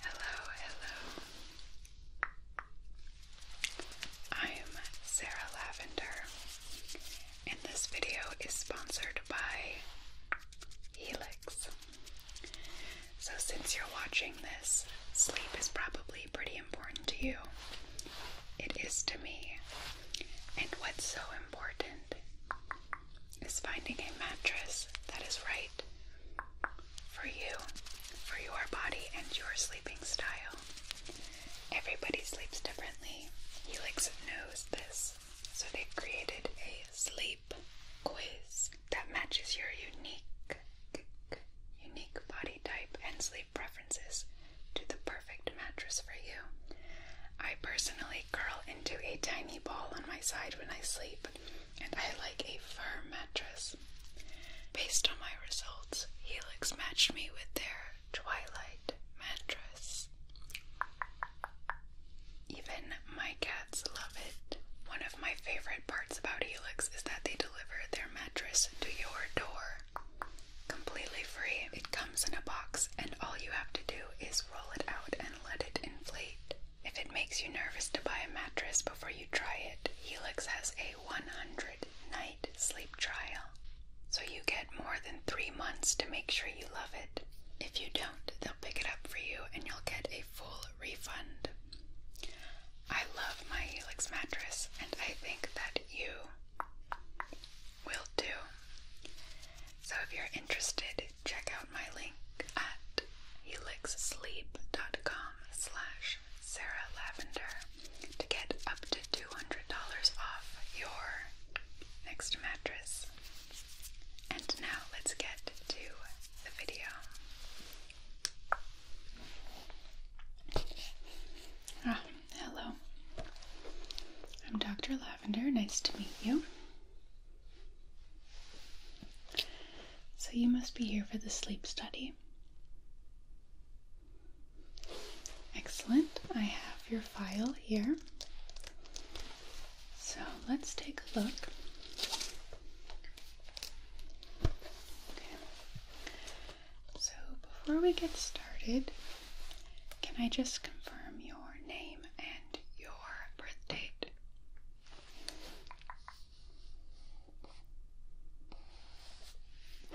Hello, hello. I am Sarah Lavender, and this video is sponsored by Helix. So, since you're watching this, sleep is probably pretty important to you. It is to me. And what's so important is finding a mattress that is right for you, for your body, and your sleeping style. Everybody sleeps differently. Helix knows this, so they created a sleep quiz that matches your unique, unique body type and sleep preferences to the perfect mattress for you. I personally curl into a tiny ball on my side when I sleep, and I like a firm mattress. Based on my results, Helix matched me with their Twilight mattress. Even my cats love it. One of my favorite parts about Helix is that they deliver their mattress to your door completely free. It comes in a box, and all you have to do is roll it out and let it inflate. If it makes you nervous to buy a mattress before you try it, Helix has a 100 night sleep trial. So you get more than three months to make sure you love it. If you don't, they'll pick it up for you and you'll get a full refund. I love my Helix mattress and I think that you will too. So if you're interested check out my link at helixsleep.com slash Sarah Lavender to get up to $200 off your next mattress. And now let's get to the video. Oh, hello. I'm Dr. Lavender. Nice to meet you. So you must be here for the sleep study. Excellent. I have your file here. So let's take a look. So before we get started, can I just confirm your name and your birth date?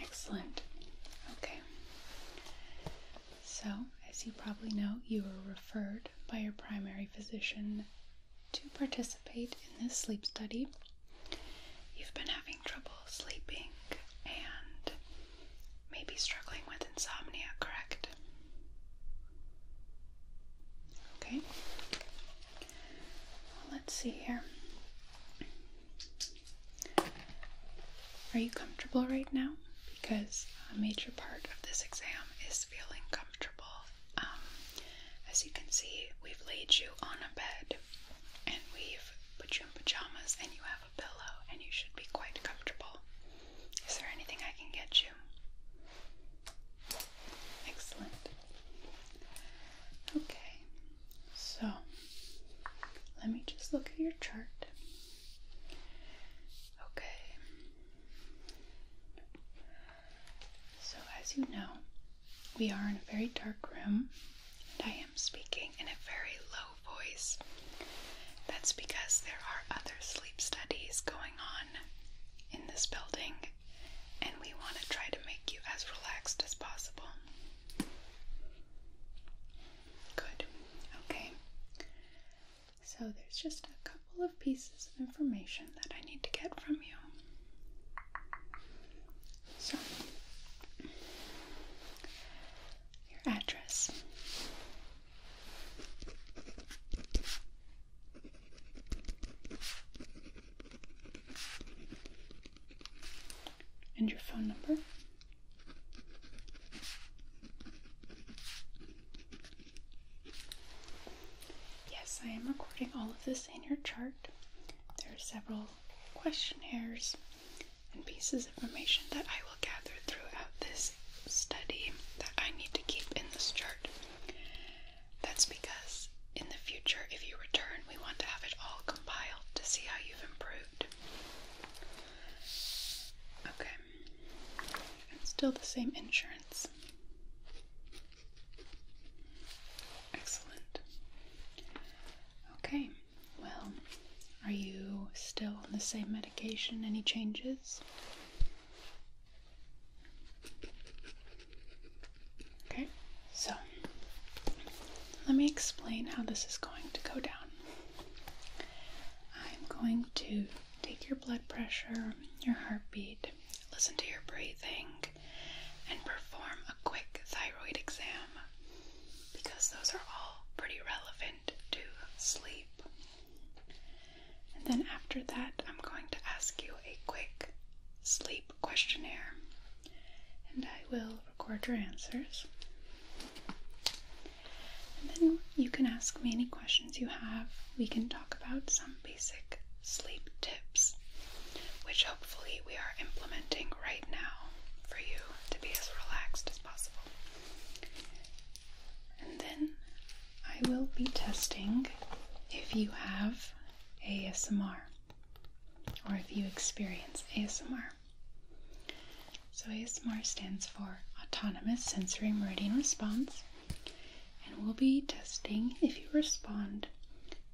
Excellent. Okay. So, as you probably know, you were referred by your primary physician to participate in this sleep study. You've been having trouble sleeping and maybe struggling with insomnia, correct? Okay. let's see here. Are you comfortable right now? Because a major part of this exam is feeling comfortable. Um, as you can see, we've laid you on a bed and we've put you in pajamas and you have a pillow and you should be quite comfortable. Is there anything I can get you? Excellent. Okay, so let me just look at your chart. Okay, so as you know, we are in a very dark room, and I am speaking in a very low voice. That's because there are other sleep studies going on in this building and we want to try to make you as relaxed as possible. Good. Okay. So there's just a couple of pieces of information that I need to get from you. So, your address. And your phone number? Yes, I am recording all of this in your chart. There are several questionnaires and pieces of information that I will gather throughout this study that I need to keep in this chart. That's because in the future, if you return, we want to have it all compiled to see how you've improved. Okay. still the same insurance. Excellent. Okay. Well, are you still on the same medication? Any changes? Okay, so let me explain how this is going to go down. I'm going to take your blood pressure, your heartbeat, listen to your breathing, and perform a quick thyroid exam because those are all pretty relevant to sleep. And then after that, I'm going to ask you a quick sleep questionnaire. And I will record your answers. And then you can ask me any questions you have. We can talk about some basic sleep tips, which hopefully we are implementing right now for you to be as relaxed as possible. And then I will be testing if you have ASMR or if you experience ASMR. So, ASMR stands for Autonomous Sensory Meridian Response, and we'll be testing if you respond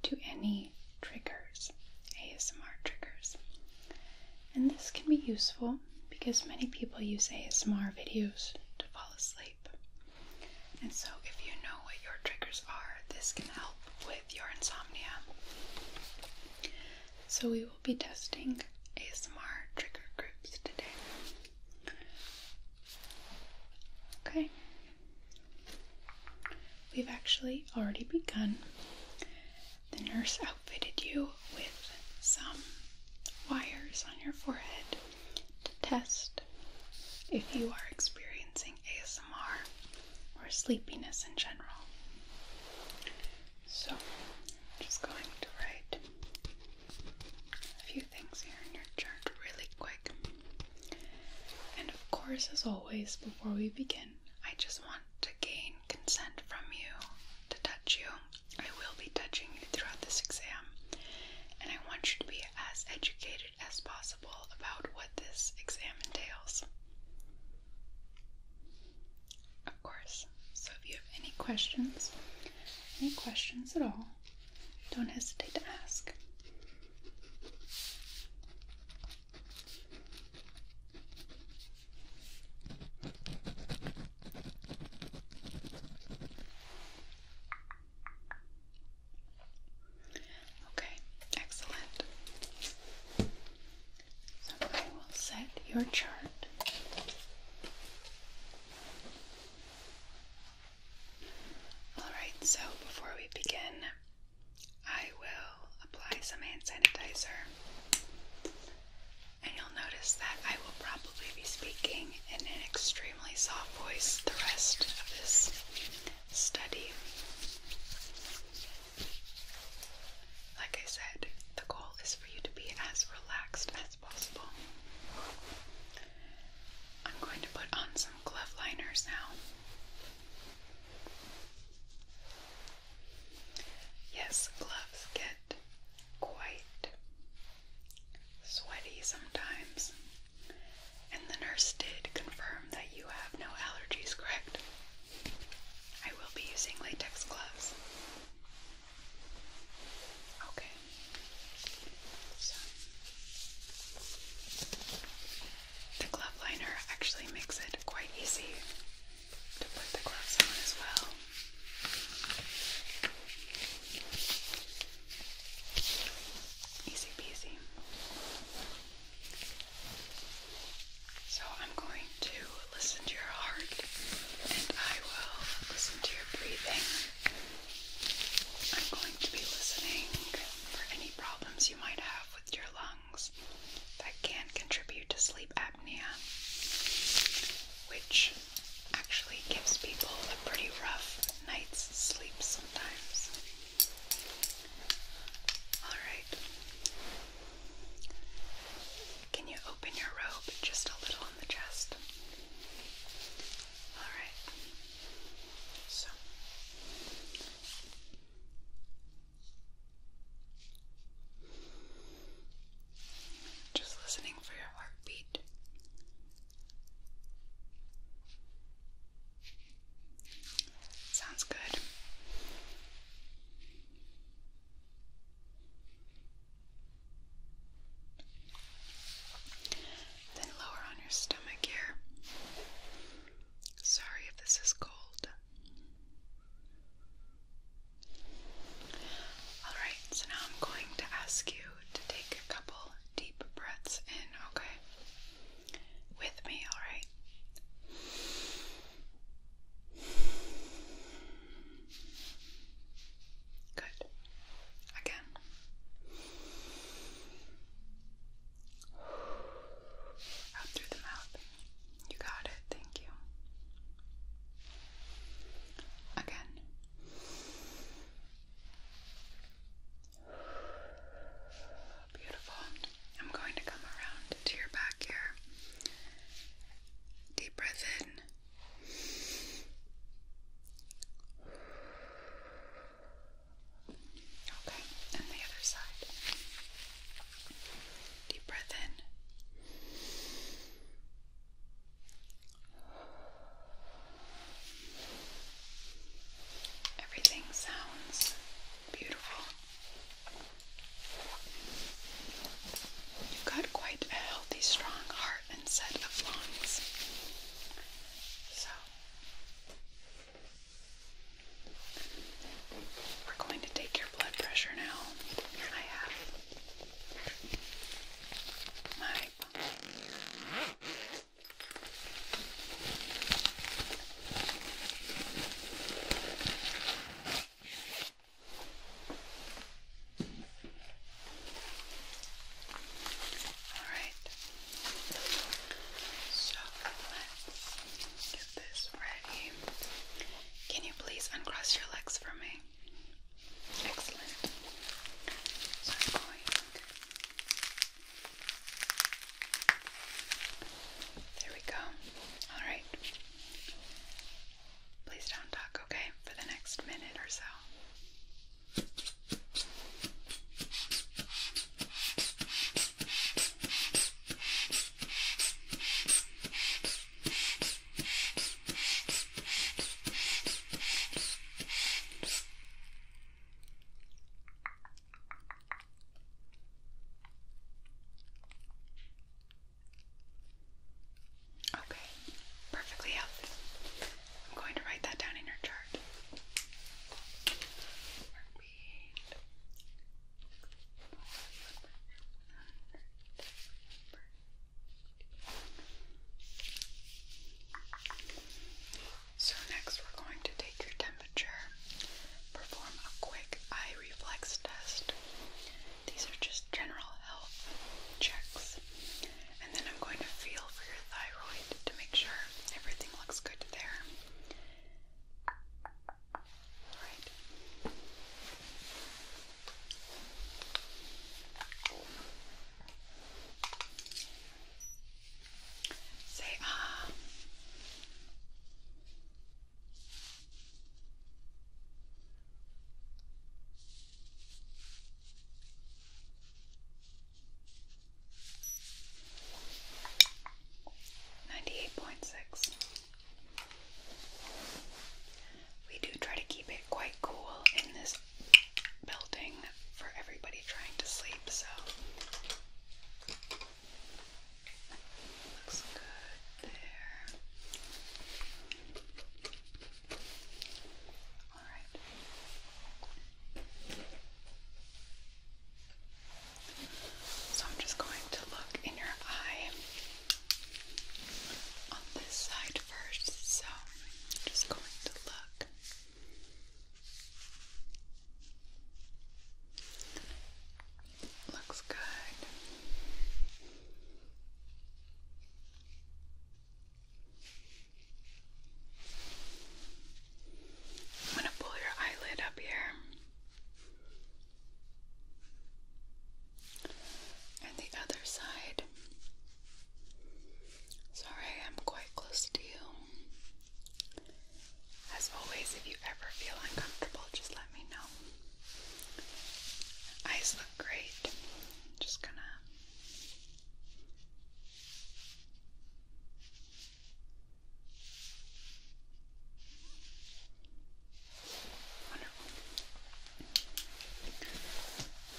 to any triggers, ASMR triggers. And this can be useful because many people use ASMR videos to fall asleep. And so, if you know what your triggers are, this can help with your insomnia. So, we will be testing ASMR trigger groups today. Okay. We've actually already begun. The nurse outfitted you with some wires on your forehead to test if you are experiencing ASMR or sleepiness in general. So, I'm just going to write a few things here in your chart really quick. And of course, as always, before we begin, I just want to gain consent from you to touch you. I will be touching you throughout this exam, and I want you to be as educated as possible about what this exam entails. Of course. So if you have any questions, any questions at all, don't hesitate to ask. Okay, excellent. So I will set your chart. Alright, so before we begin, I will apply some hand sanitizer. And you'll notice that I will probably be speaking in an extreme extremely soft voice the rest of this study. Like I said, the goal is for you to be as relaxed as possible. I'm going to put on some glove liners now. Yes, gloves get quite sweaty sometimes. And the nurse did confirm that you have no allergies, correct? I will be using latex gloves. Okay. the glove liner actually makes it quite easy to put the gloves on as well. Easy peasy. So I'm going to listen to your heart and I will listen to your breathing. I'm going to be listening for any problems you might have with your lungs that can contribute to sleep apnea, which actually gives people a pretty rough night's sleep sometimes. Alright. Can you open your robe just a little on the chest? Alright. So. Just listening for your heartbeat. Sounds good. Then lower on your stomach here. Sorry if this is cold. Alright, so now I'm going to ask you to take a couple deep breaths in, okay? with me, alright? Good. Again. Out through the mouth. You got it. Thank you. Again. Beautiful. I'm going to come around to your back here. Deep breath in. Okay, and the other side. Deep breath in. Everything sounds beautiful. You've got quite a healthy, strong heart and set of lungs. So, we're going to take your blood pressure now. I have my Alright, so let's get this ready. Can you please uncross your legs for me? Excellent. So I'm going there we go. All right. Please don't talk, okay, for the next minute or so. Okay, perfectly healthy. I'm going to write that down in your chart. So, next we're going to take your temperature, perform a quick eye reflex test. These are just general health checks. And then I'm going to feel for your thyroid to make sure everything looks good there. Alright. Say ah. Ninety eight point six. We do try to keep it quite cool in this building for everybody trying to sleep, so Looks good there. All right. So I'm just going to look in your eye on this side first. So I'm just going to look. Looks good. I'm going to pull your eyelid up here. And the other side. Sorry, I'm quite close to you. As always, if you ever feel uncomfortable, just let me know. Eyes look great. Just gonna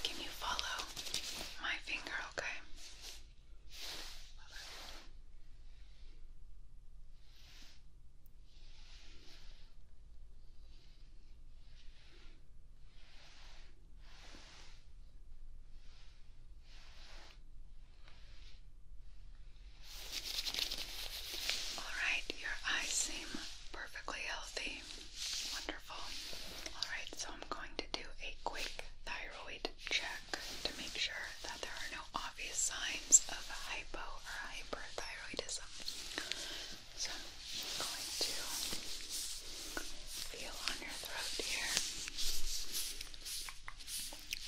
Can you follow my finger, okay? Alright, your eyes seem perfectly healthy. Wonderful. Alright, so I'm going to do a quick thyroid check check to make sure that there are no obvious signs of hypo or hyperthyroidism. So I'm going to feel on your throat here,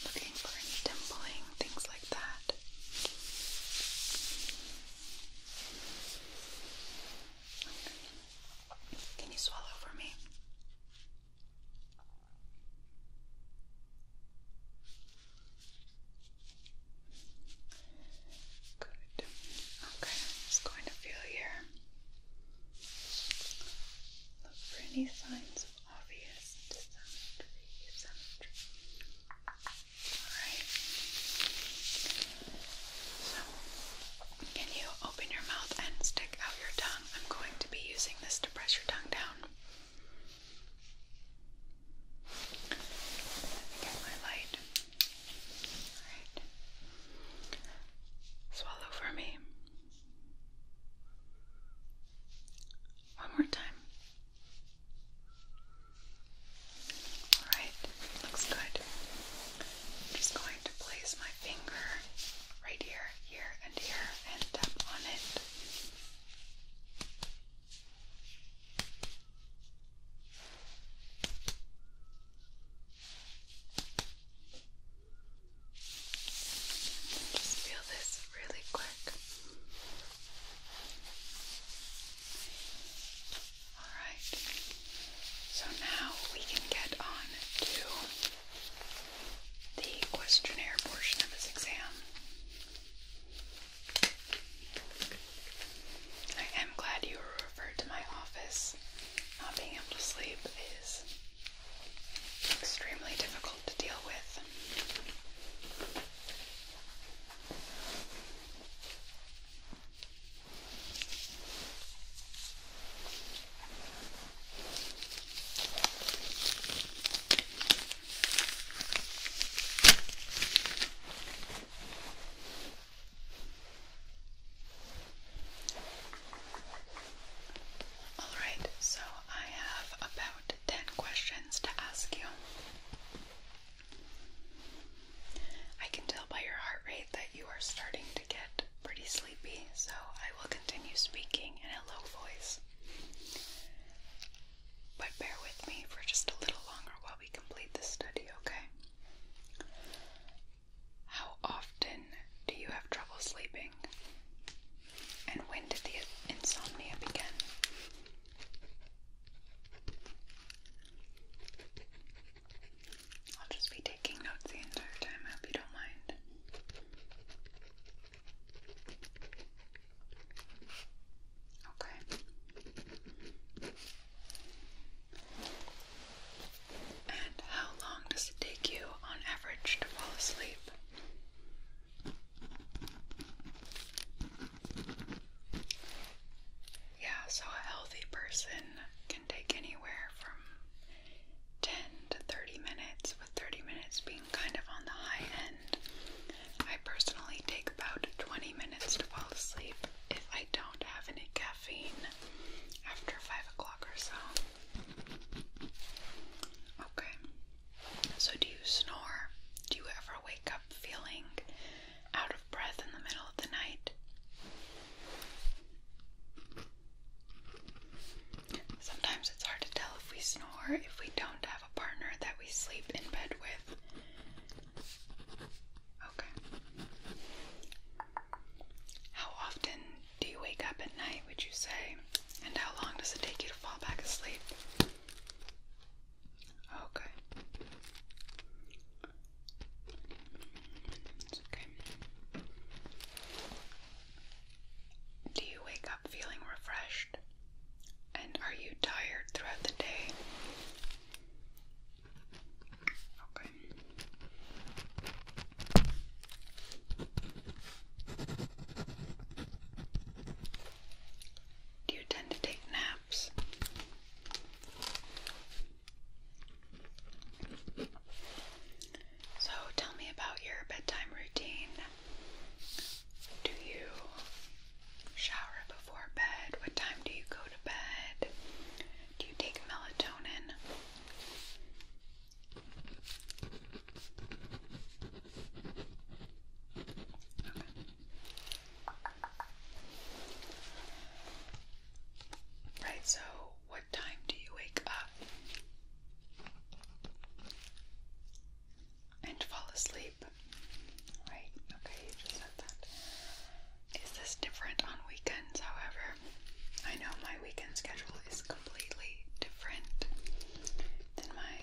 looking for any dimpling, things like that. Can you swallow for me? Good. Okay, I'm just going to feel here. Look for any signs of obvious dissymmetry. Alright. So, can you open your mouth and stick out your tongue? I'm going to be using this press your tongue down. get my light. Alright. Swallow for me. One more time. Alright, looks good. just going to place my finger right here, here, and here and tap on it. Just feel this really quick. Alright, so now we can get on to the questionnaire portion of his exam. I am glad you were referred to my office. Not being able to sleep is extremely difficult to deal with. All right, so I have about 10 questions to ask you. I can tell by your heart rate that you are starting to get pretty so I will continue speaking in a low voice. But bear with me for just a little longer while we complete this study, okay? How often do you have trouble sleeping? And when did the insomnia begin? I'll just be taking notes the entire time. I hope you don't mind. Okay. And how long does it take you on average to fall asleep? Yeah, so a healthy person can take anywhere from 10 to 30 minutes, with 30 minutes being kind of on the high end. I personally take about 20 minutes to fall asleep if I don't have any caffeine after 5 o'clock or so. Okay, so do you snore? Do you ever wake up feeling out of breath in the middle of the night? Sometimes it's hard to tell if we snore if we don't have a partner that we sleep in bed with. Okay. How often do you wake up at night, would you say? And how long does it take you to fall back asleep? Okay. okay. Do you wake up feeling refreshed? And are you tired throughout the day? Okay. Do you tend to take naps? So tell me about your bedtime routine. Do you shower before bed? What time do you go to bed? Do you take melatonin? Okay. so what time do you wake up? and fall asleep. Right, okay, you just said that. Is this different on weekends, however? I know my weekend schedule is completely different than my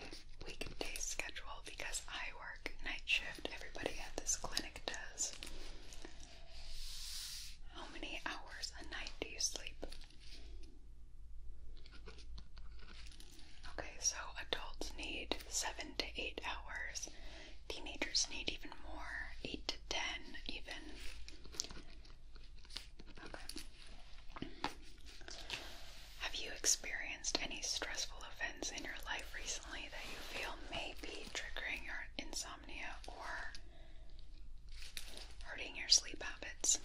weekday schedule because I work night shift. Everybody at this clinic does. How many hours a night do you sleep? Okay, so adults need seven to eight hours. Teenagers need even more, eight to ten, even. Okay. Have you experienced any stressful events in your life recently that you feel may be triggering your insomnia or hurting your sleep habits?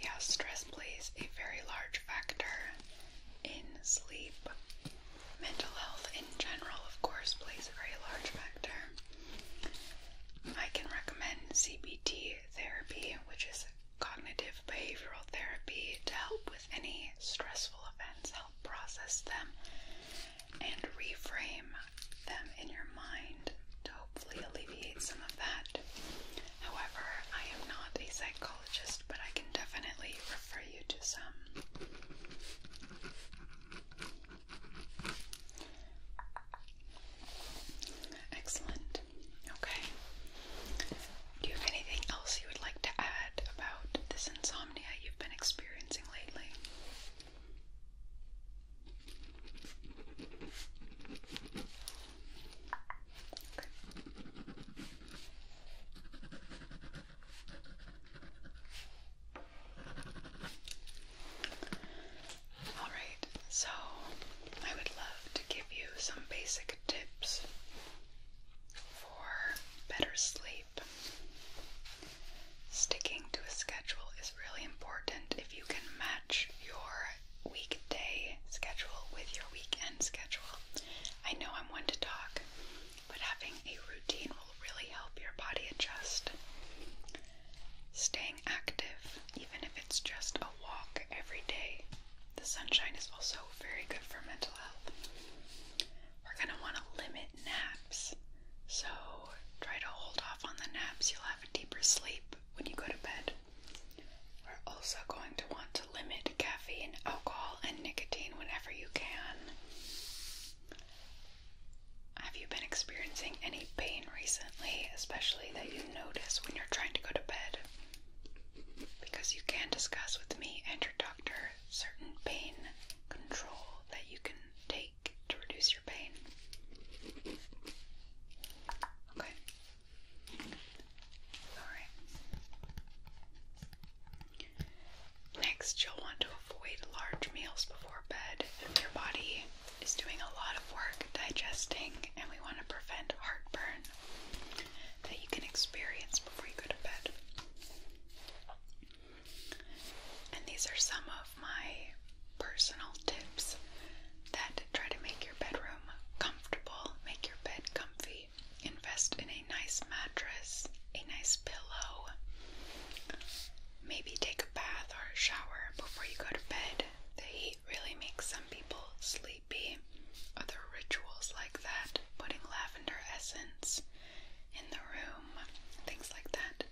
Yeah, stress plays a very large factor in sleep. Mental health in general, of course, plays a very large factor. I can recommend CBT therapy, which is cognitive behavioral therapy to help with any stressful events, help process them, and reframe them in your mind to hopefully alleviate some of that. However, I am not a psychologist, but I can definitely refer you to some. Excellent. Okay. Do you have anything else you would like to add about this insomnia you've been experiencing lately? All right, so I would love to give you some basic tips for better sleep. Sticking to a schedule is really important if you can match your weekday schedule with your weekend schedule. I know I'm one to talk, but having a routine will really help your body adjust. Staying active, even if it's just a walk every day, the sunshine is also very good for mental health. We're going to want to limit naps. So try to hold off on the naps. You'll have a deeper sleep when you go to bed. We're also going to want to limit caffeine, alcohol, and nicotine whenever you can. Have you been experiencing any pain recently, especially that you notice when you're trying to go to bed? because you can discuss with me and your doctor certain pain control that you can take to reduce your pain. Okay. Alright. Next, you'll want to avoid large meals before bed. Your body is doing a lot of work digesting, and we want to prevent heartburn that you can experience before you go to bed. And these are some of my personal tips that try to make your bedroom comfortable, make your bed comfy, invest in a nice mattress, a nice pillow. Maybe take a bath or a shower before you go to bed really makes some people sleepy. Other rituals like that, putting lavender essence in the room, things like that.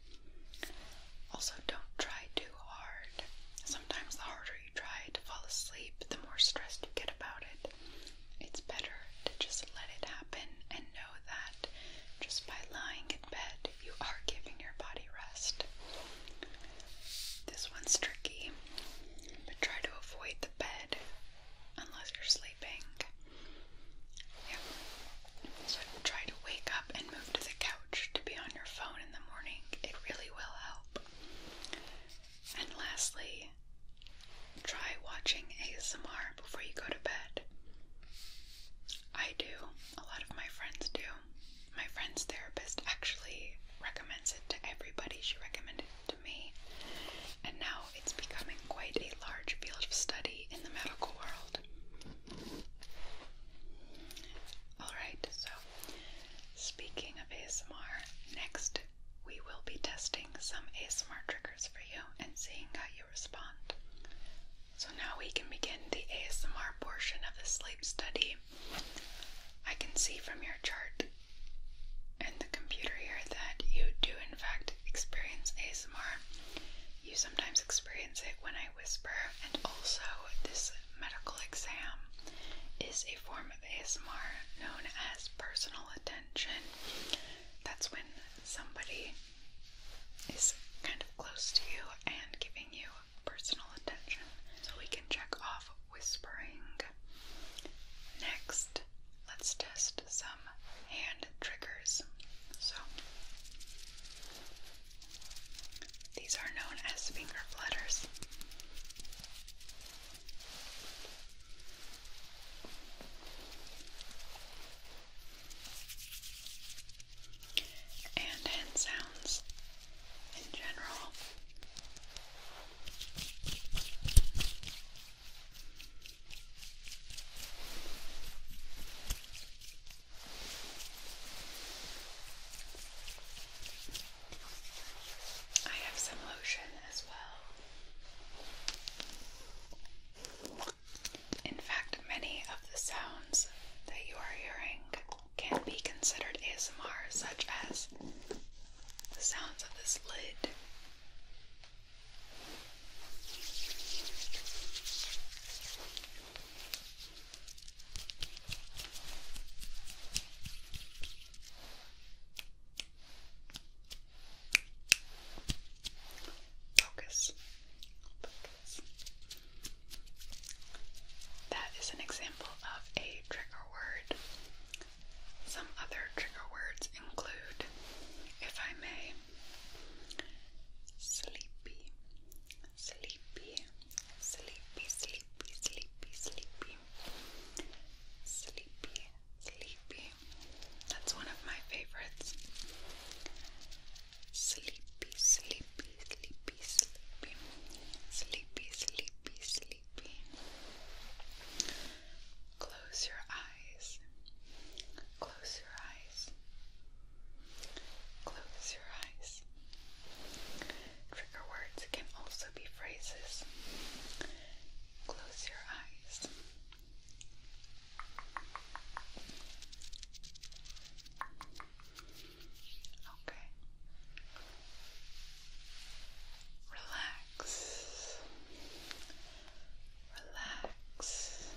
Also, don't try too hard. Sometimes the harder you try to fall asleep, the more stressed you get about it. It's better to just let it happen and know that just by lying in bed, you are giving your body rest. This one's tricky, but try to avoid the bed unless you're sleeping. So try to wake up and move to the couch to be on your phone in the morning. It really will help. And lastly, try watching ASMR before you go to bed. I do. A lot of my friends do. My friend's therapist actually recommends it to everybody. She recommended it to me. And now it's becoming quite a large field of study in the medical world. Alright, so speaking of ASMR, next we will be testing some ASMR triggers for you and seeing how you respond. So now we can begin the ASMR portion of the sleep study. I can see from your chart and the computer here that you do, in fact, experience ASMR. You sometimes experience it when I whisper, and also this medical exam is a form of ASMR known as personal attention. That's when somebody is kind of close to you and giving you personal attention. So we can check off whispering. Next, let's test some hand triggers. So, these are known as finger flutters. And hand sounds in general I have some lotion as well. In fact, many of the sounds that you are hearing can be considered ASMR, such as the sounds of this lid. Focus. That is an example of a trigger word some other trigger words include, if I may, sleepy, sleepy, sleepy, sleepy, sleepy, sleepy, sleepy, sleepy. That's one of my favorites. Sleepy, sleepy, sleepy, sleepy, sleepy, sleepy, sleepy. Close your eyes. Close your eyes. Close your eyes. Trigger words can also be phrases. Close your eyes. Okay. Relax relax, relax,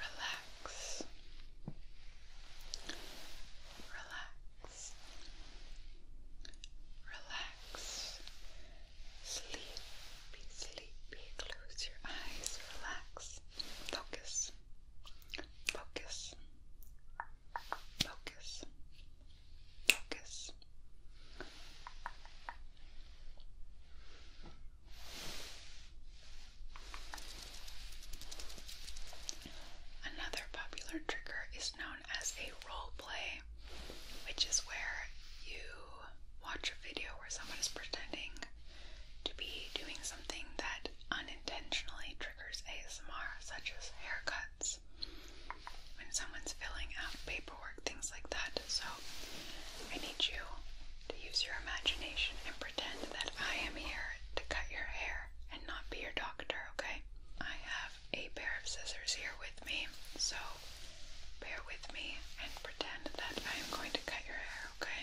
relax, relax, relax. Sleepy, sleepy, close your eyes, relax, focus, focus. Focus. Focus. Another popular trigger is known as a role play, which is where you watch a video where someone is pretending to be doing something that unintentionally triggers ASMR, such as haircut when someone's filling out paperwork, things like that. So I need you to use your imagination and pretend that I am here to cut your hair and not be your doctor, okay? I have a pair of scissors here with me, so bear with me and pretend that I am going to cut your hair, okay?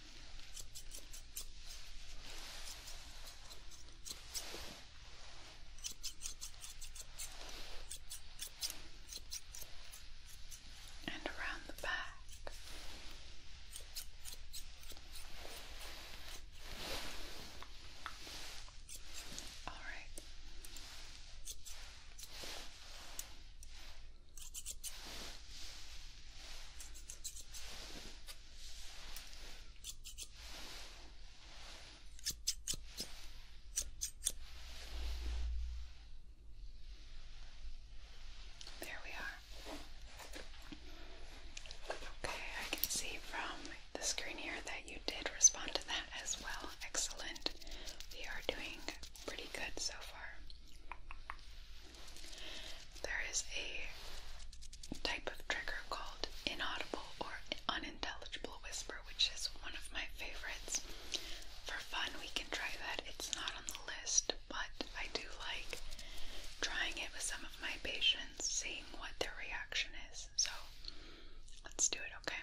and around the back. All right. There we are. Okay, I can see from the screen here that you did respond to that as well. Excellent. We are doing pretty good so far. There is a type of trigger called inaudible or unintelligible whisper, which is one of my favorites. For fun, we can try that. It's not on the list, but I do like trying it with some of my patients, seeing what their reaction is. So let's do it, okay?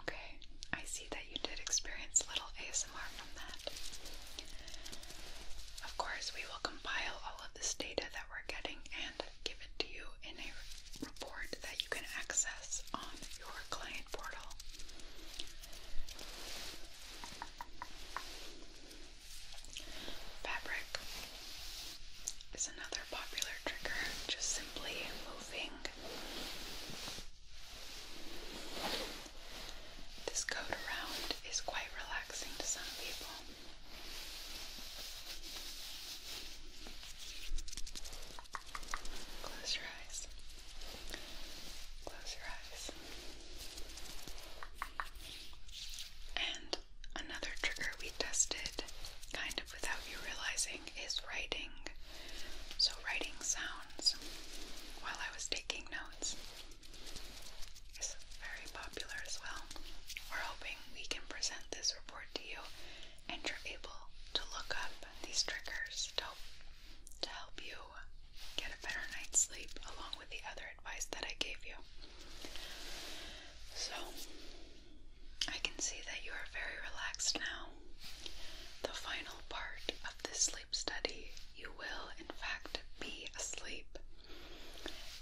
Okay, I see that you did experience little ASMR from that. Of course, we will compile all of this data that we're getting and give it to you in a report that you can access on your client portal. Fabric is another popular trigger, just simply moving this coat around is quite relaxing to some people. Close your eyes. Close your eyes. And another trigger we tested, kind of without you realizing, is writing. So, writing sounds while I was taking notes is very popular as well. We're hoping we can present this report to you and you able to look up these triggers to to help you get a better night's sleep along with the other advice that I gave you. So, I can see that you are very relaxed now the final part of this sleep study, you will, in fact, be asleep.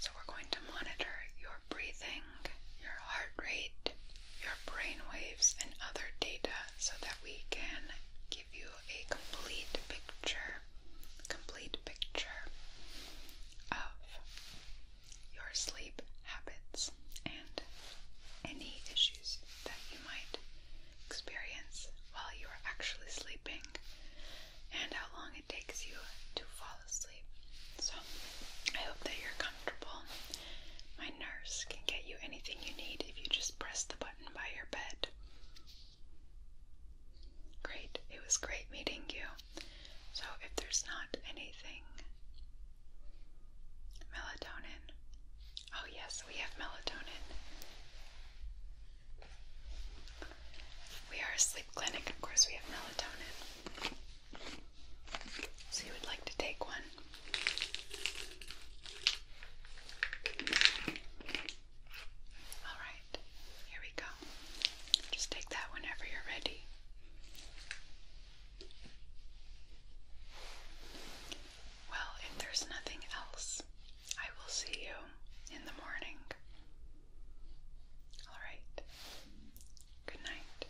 So, we're going to monitor your breathing, your heart rate, your brain waves, and other data so that we can give you a complete picture, complete picture of your sleep habits and any issues that you might experience while you are actually sleeping and how long it takes you to fall asleep. So, I hope that you're comfortable. My nurse can get you anything you need if you just press the button by your bed. Great, it was great meeting you. So, if there's not anything Melatonin. Oh, yes, we have melatonin. We are a sleep clinic, of course, we have melatonin. So, you would like to take one? Alright, here we go. Just take that whenever you're ready. Well, if there's nothing else, I will see you in the morning. All right. Good night.